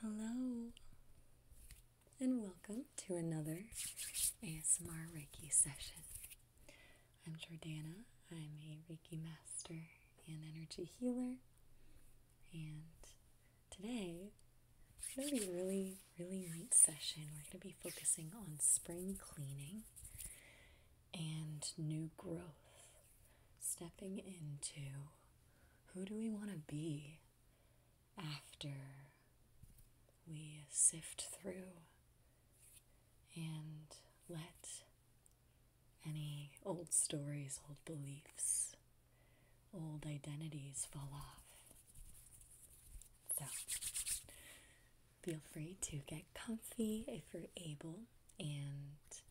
Hello, and welcome to another ASMR Reiki session. I'm Jordana, I'm a Reiki master and energy healer, and today it's going to be a really, really neat session. We're going to be focusing on spring cleaning and new growth, stepping into who do we want to be after we sift through and let any old stories, old beliefs, old identities fall off? So, feel free to get comfy if you're able and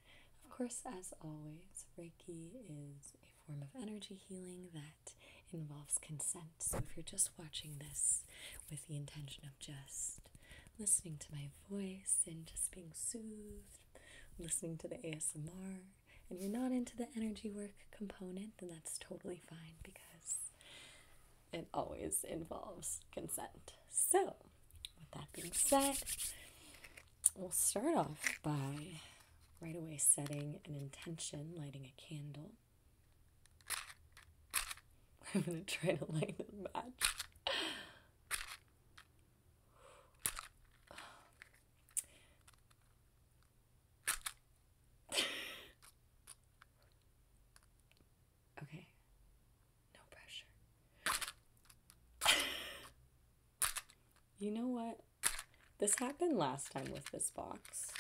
of course, as always, Reiki is a form of energy healing that involves consent. So, if you're just watching this with the intention of just listening to my voice and just being soothed, listening to the ASMR, and you're not into the energy work component, then that's totally fine because it always involves consent. So, with that being said, we'll start off by right away setting an intention, lighting a candle. I'm going to try to light the match. okay, no pressure. You know what? This happened last time with this box.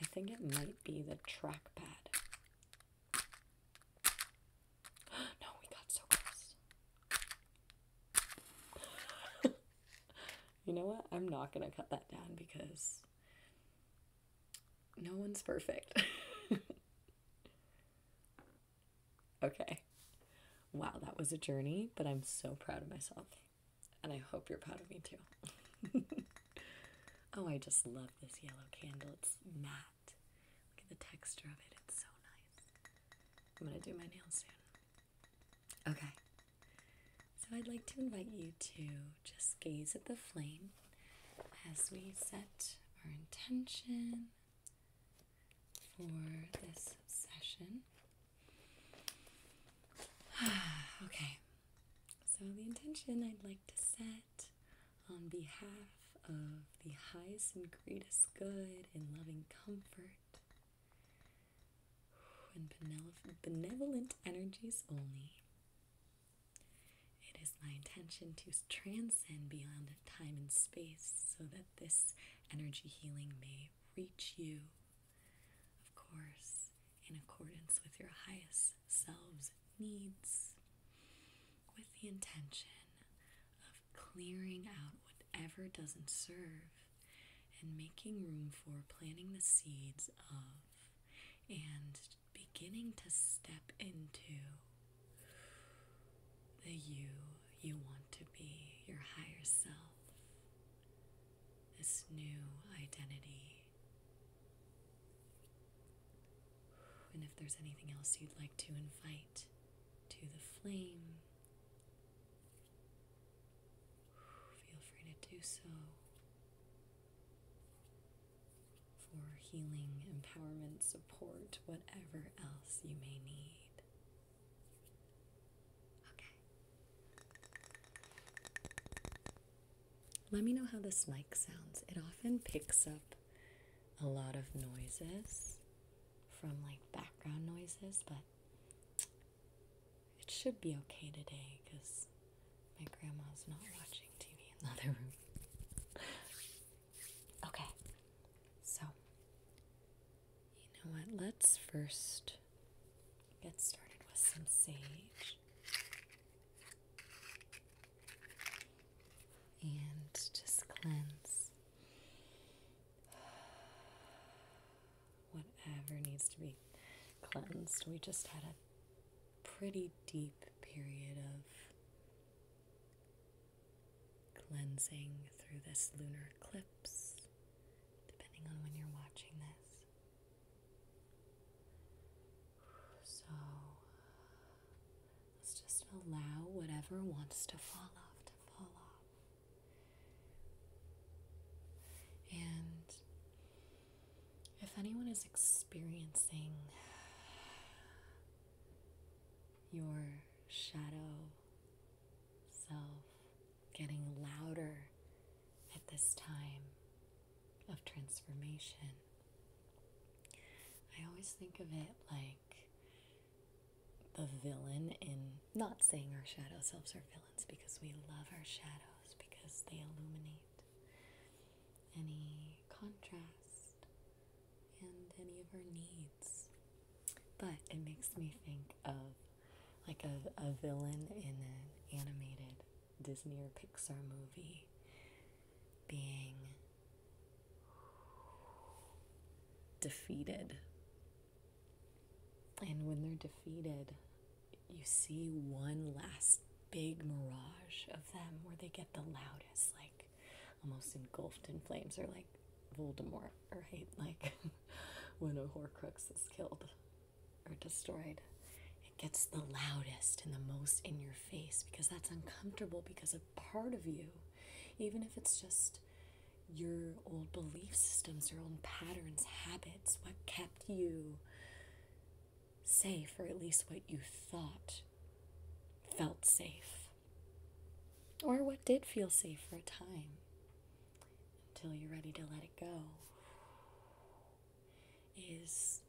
I think it might be the trackpad. no, we got so close. you know what? I'm not going to cut that down because no one's perfect. Okay. Wow, that was a journey, but I'm so proud of myself. And I hope you're proud of me too. oh, I just love this yellow candle. It's matte. Look at the texture of it. It's so nice. I'm going to do my nails soon. Okay. So I'd like to invite you to just gaze at the flame as we set our intention for this session. okay, so the intention I'd like to set on behalf of the highest and greatest good in loving comfort and benevolent energies only. It is my intention to transcend beyond time and space so that this energy healing may reach you, of course, in accordance with your highest selves needs, with the intention of clearing out whatever doesn't serve and making room for planting the seeds of and beginning to step into the you you want to be, your higher self, this new identity. And if there's anything else you'd like to invite to the flame, feel free to do so. For healing, empowerment, support, whatever else you may need. Okay. Let me know how this mic sounds. It often picks up a lot of noises from like background noises, but it should be okay today because my grandma's not watching TV in the other room. okay, so you know what? Let's first get started with some sage. And just cleanse whatever needs to be cleansed. We just had a pretty deep period of cleansing through this lunar eclipse, depending on when you're watching this. So let's just allow whatever wants to fall off to fall off. And if anyone is experiencing your shadow self getting louder at this time of transformation. I always think of it like the villain in not saying our shadow selves are villains because we love our shadows because they illuminate any contrast and any of our needs but it makes me think of like a, a villain in an animated Disney or Pixar movie being defeated. And when they're defeated, you see one last big mirage of them where they get the loudest, like almost engulfed in flames, or like Voldemort, right? Like when a Horcrux is killed or destroyed. It gets the loudest and the most in your face because that's uncomfortable because a part of you, even if it's just your old belief systems, your old patterns, habits, what kept you safe, or at least what you thought felt safe. Or what did feel safe for a time until you're ready to let it go is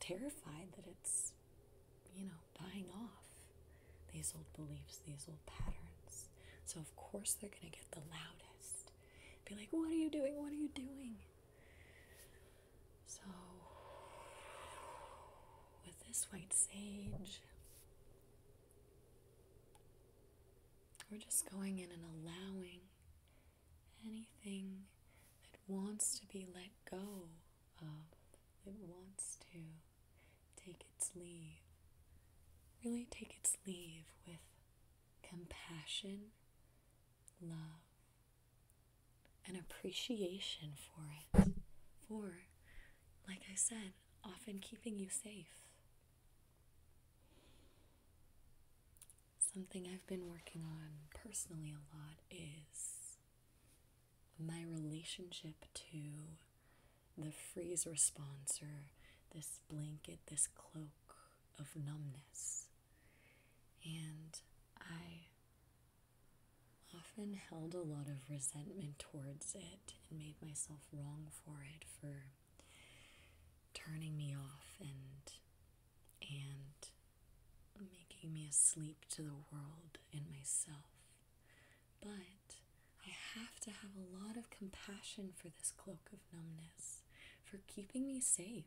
terrified that it's, you know, dying off. These old beliefs, these old patterns. So, of course, they're going to get the loudest. Be like, what are you doing? What are you doing? So, with this white sage, we're just going in and allowing anything that wants to be let go of, it wants to take its leave. Really take its leave with compassion, love, and appreciation for it. For, like I said, often keeping you safe. Something I've been working on personally a lot is my relationship to the freeze response or this blanket, this cloak of numbness. And I often held a lot of resentment towards it and made myself wrong for it for turning me off and and making me asleep to the world and myself. But I have to have a lot of compassion for this cloak of numbness, for keeping me safe,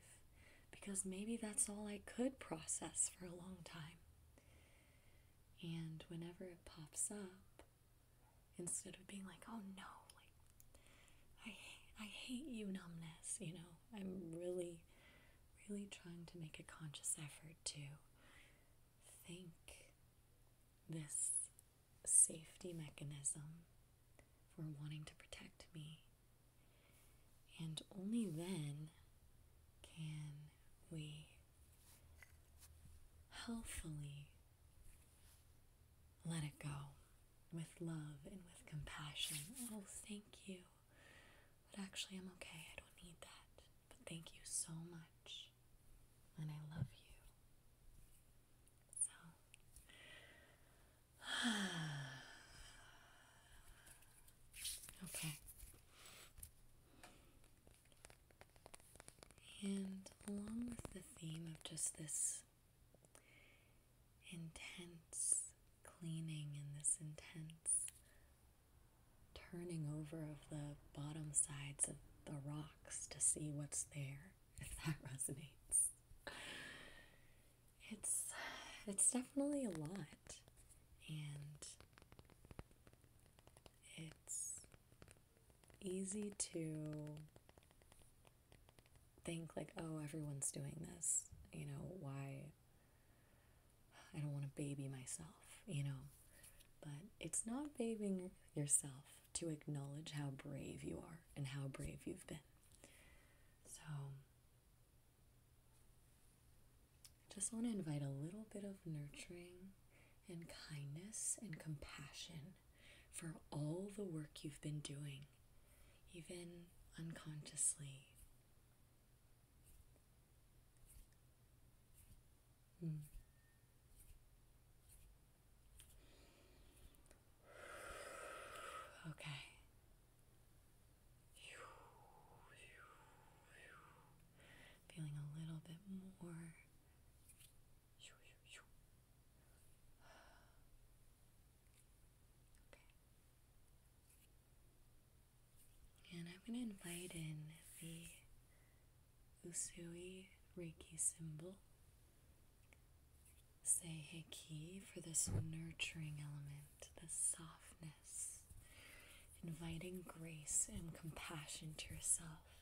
because maybe that's all I could process for a long time. And whenever it pops up, instead of being like, oh no, like I I hate you numbness, you know. I'm really really trying to make a conscious effort to think this safety mechanism for wanting to protect me. And only then can we healthfully let it go with love and with compassion. Oh, thank you. But actually, I'm okay. I don't need that. But thank you so much. And I love you. So, okay. And along with the theme of just this intense cleaning and this intense turning over of the bottom sides of the rocks to see what's there, if that resonates. It's it's definitely a lot and it's easy to think like oh everyone's doing this you know why i don't want to baby myself you know but it's not babying yourself to acknowledge how brave you are and how brave you've been so just want to invite a little bit of nurturing and kindness and compassion for all the work you've been doing, even unconsciously. Hmm. Okay. Feeling a little bit more and I'm going to invite in the Usui Reiki symbol. Say Hiki for this nurturing element, this softness, inviting grace and compassion to yourself.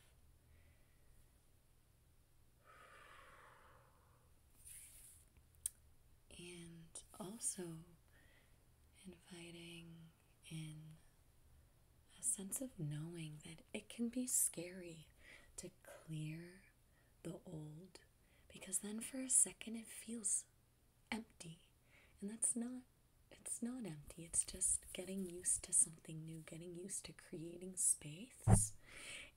And also inviting in a sense of knowing that it can be scary to clear the old because then for a second it feels empty, and that's not it's not empty, it's just getting used to something new, getting used to creating space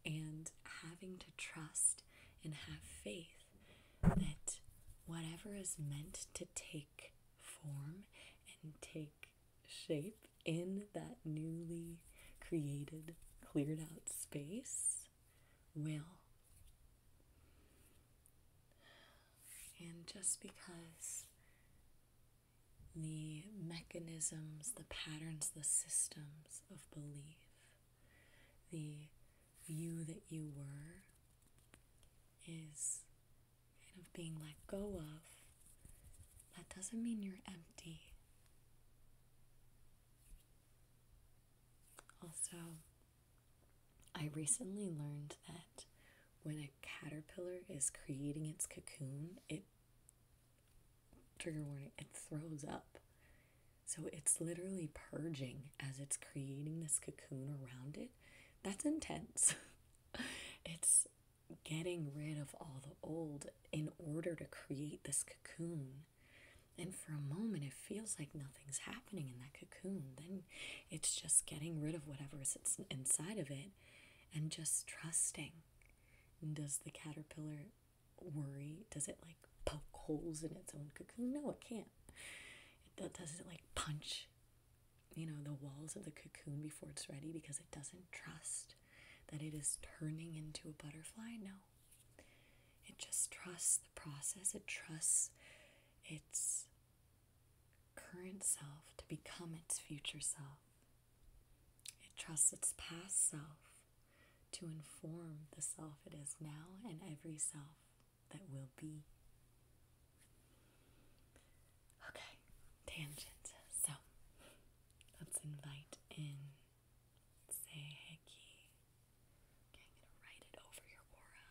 and having to trust and have faith that whatever is meant to take form and take shape in that newly created, cleared out space will. And just because the mechanisms, the patterns, the systems of belief, the you that you were is of being let go of. That doesn't mean you're empty. Also, I recently learned that when a caterpillar is creating its cocoon, it trigger warning, it throws up. So it's literally purging as it's creating this cocoon around it. That's intense. it's getting rid of all the old in order to create this cocoon. And for a moment, it feels like nothing's happening in that cocoon. Then it's just getting rid of whatever is inside of it and just trusting. Does the caterpillar worry? Does it like poke holes in its own cocoon? No, it can't. It does it like punch, you know, the walls of the cocoon before it's ready because it doesn't trust that it is turning into a butterfly? No. It just trusts the process. It trusts its current self to become its future self. It trusts its past self to inform the self it is now and every self that will be. Okay, tangent. So let's invite in Seiheki. Okay, I'm gonna write it over your aura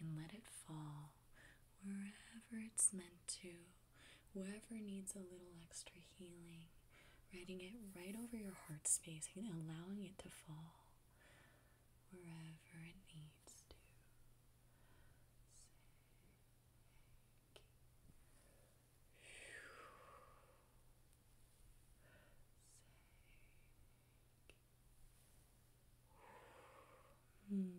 and let it fall wherever it's meant to. Whoever needs a little extra healing, writing it right over your heart space and allowing it to fall wherever it needs to. Hmm.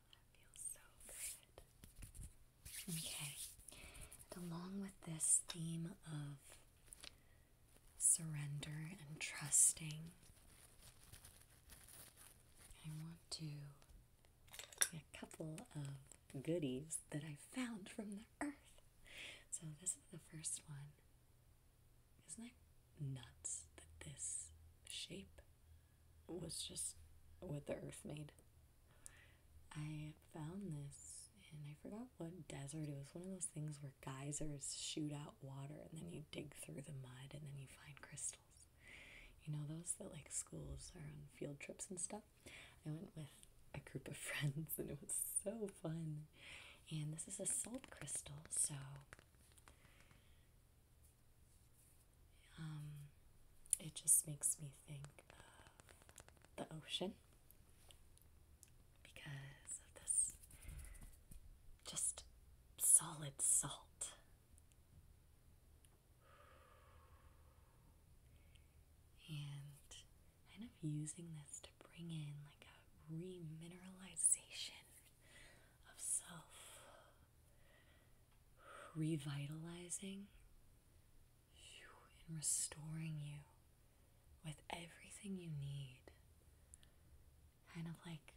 Okay, along with this theme of surrender and trusting, I want to a couple of goodies that I found from the earth. So, this is the first one, isn't it? nuts that this shape was just what the earth made. I found this and I forgot what desert. It was one of those things where geysers shoot out water and then you dig through the mud and then you find crystals. You know, those that like schools are on field trips and stuff. I went with a group of friends and it was so fun. And this is a salt crystal, so um, it just makes me think of the ocean because of this just solid salt. And kind of using this to bring in like a remineralization of self revitalizing you and restoring you with everything you need. Kind of like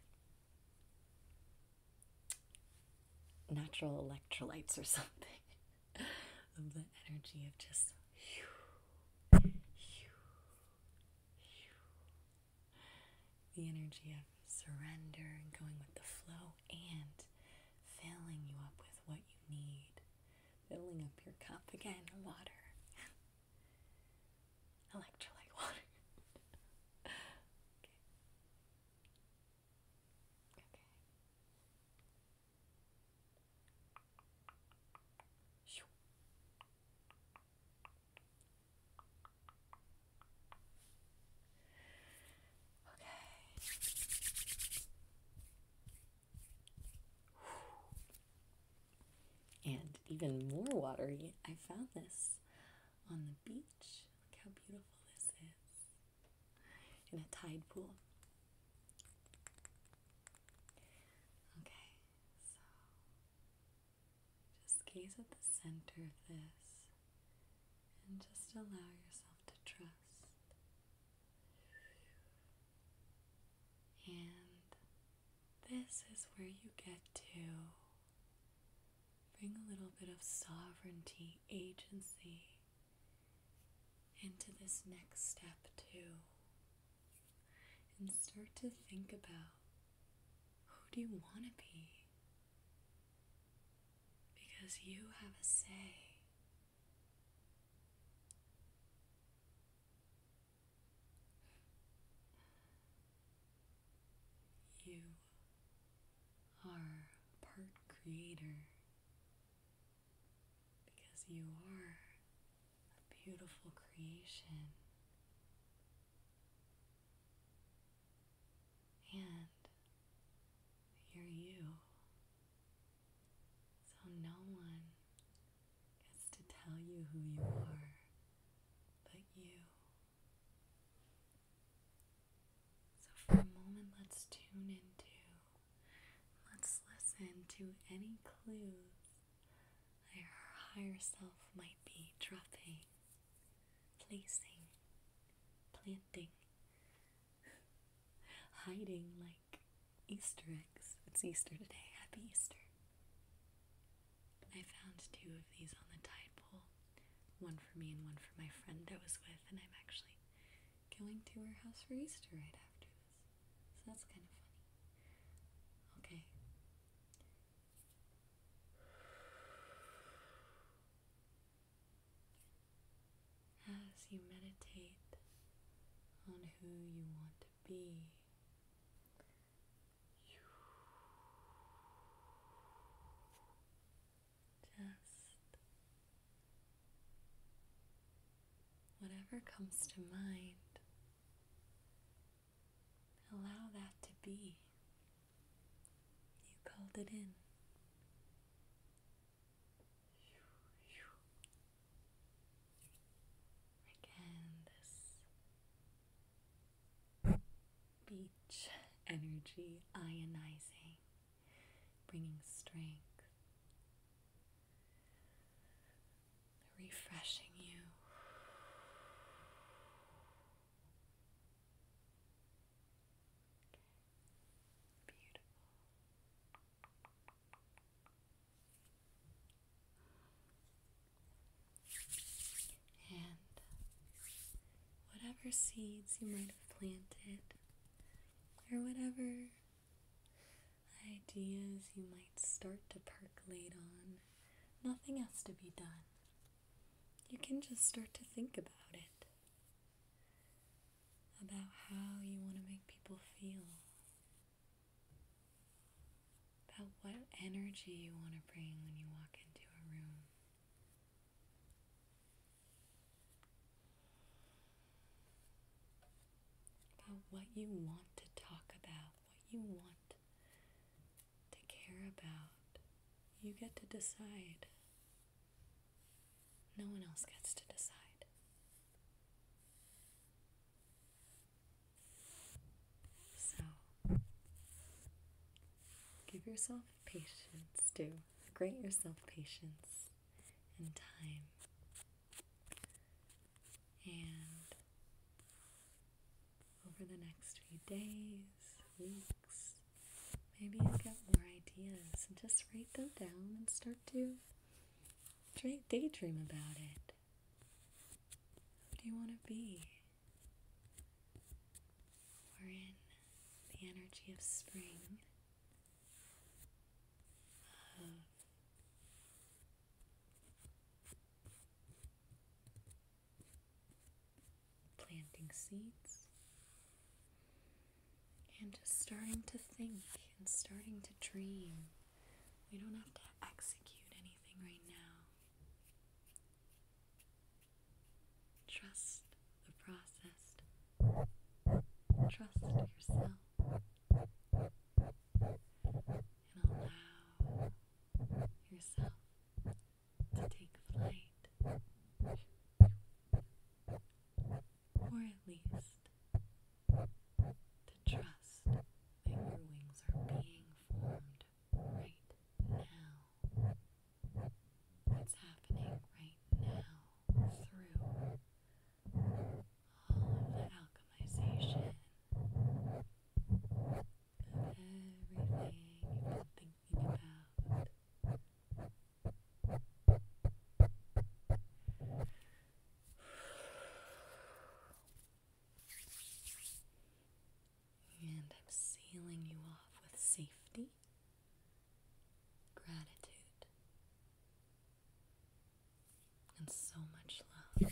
natural electrolytes or something the energy of just. Whew, whew, whew the energy of surrender and going with the flow and filling you up with what you need, filling up your cup again, water, electrolyte water. okay. Okay. Okay. And even more watery, I found this on the beach. Look how beautiful this is in a tide pool. Okay, just gaze at the center of this and just allow yourself to trust. And this is where you get to bring a little bit of sovereignty, agency into this next step, too. And start to think about who do you want to be? because you have a say. You are part creator because you are a beautiful creation and you're you. So no one gets to tell you who you are but you. So for a moment, let's tune into, let's listen to any clues that your higher self might be dropping placing, planting, hiding like Easter eggs. It's Easter today. Happy Easter. I found two of these on the tide pool one for me and one for my friend that was with, and I'm actually going to her house for Easter right after this. So that's kind of funny. Okay. As you meditate on who you want to be, just whatever comes to mind, Allow that to be. You called it in. Again, this beach energy ionizing, bringing strength, refreshing you. And whatever seeds you might have planted, or whatever ideas you might start to percolate on, nothing has to be done you can just start to think about it. About how you want to make people feel. About what energy you want to bring when you walk into a room. About what you want to talk about, what you want to to care about. You get to decide. No one else gets to decide. So, give yourself patience, do. Grant yourself patience and time. And over the next few days, weeks. Maybe you get more ideas and just write them down and start to daydream about it. Who do you want to be? We're in the energy of spring, planting seeds, and just starting to think and starting to dream. We don't have to execute anything right now. Trust the process. Trust yourself. And allow yourself to take flight, or at least to trust that your wings are being formed right now. It's happening right now through all of alchemization everything you've been thinking about. And I'm sealing you off with safety, gratitude, and so much love.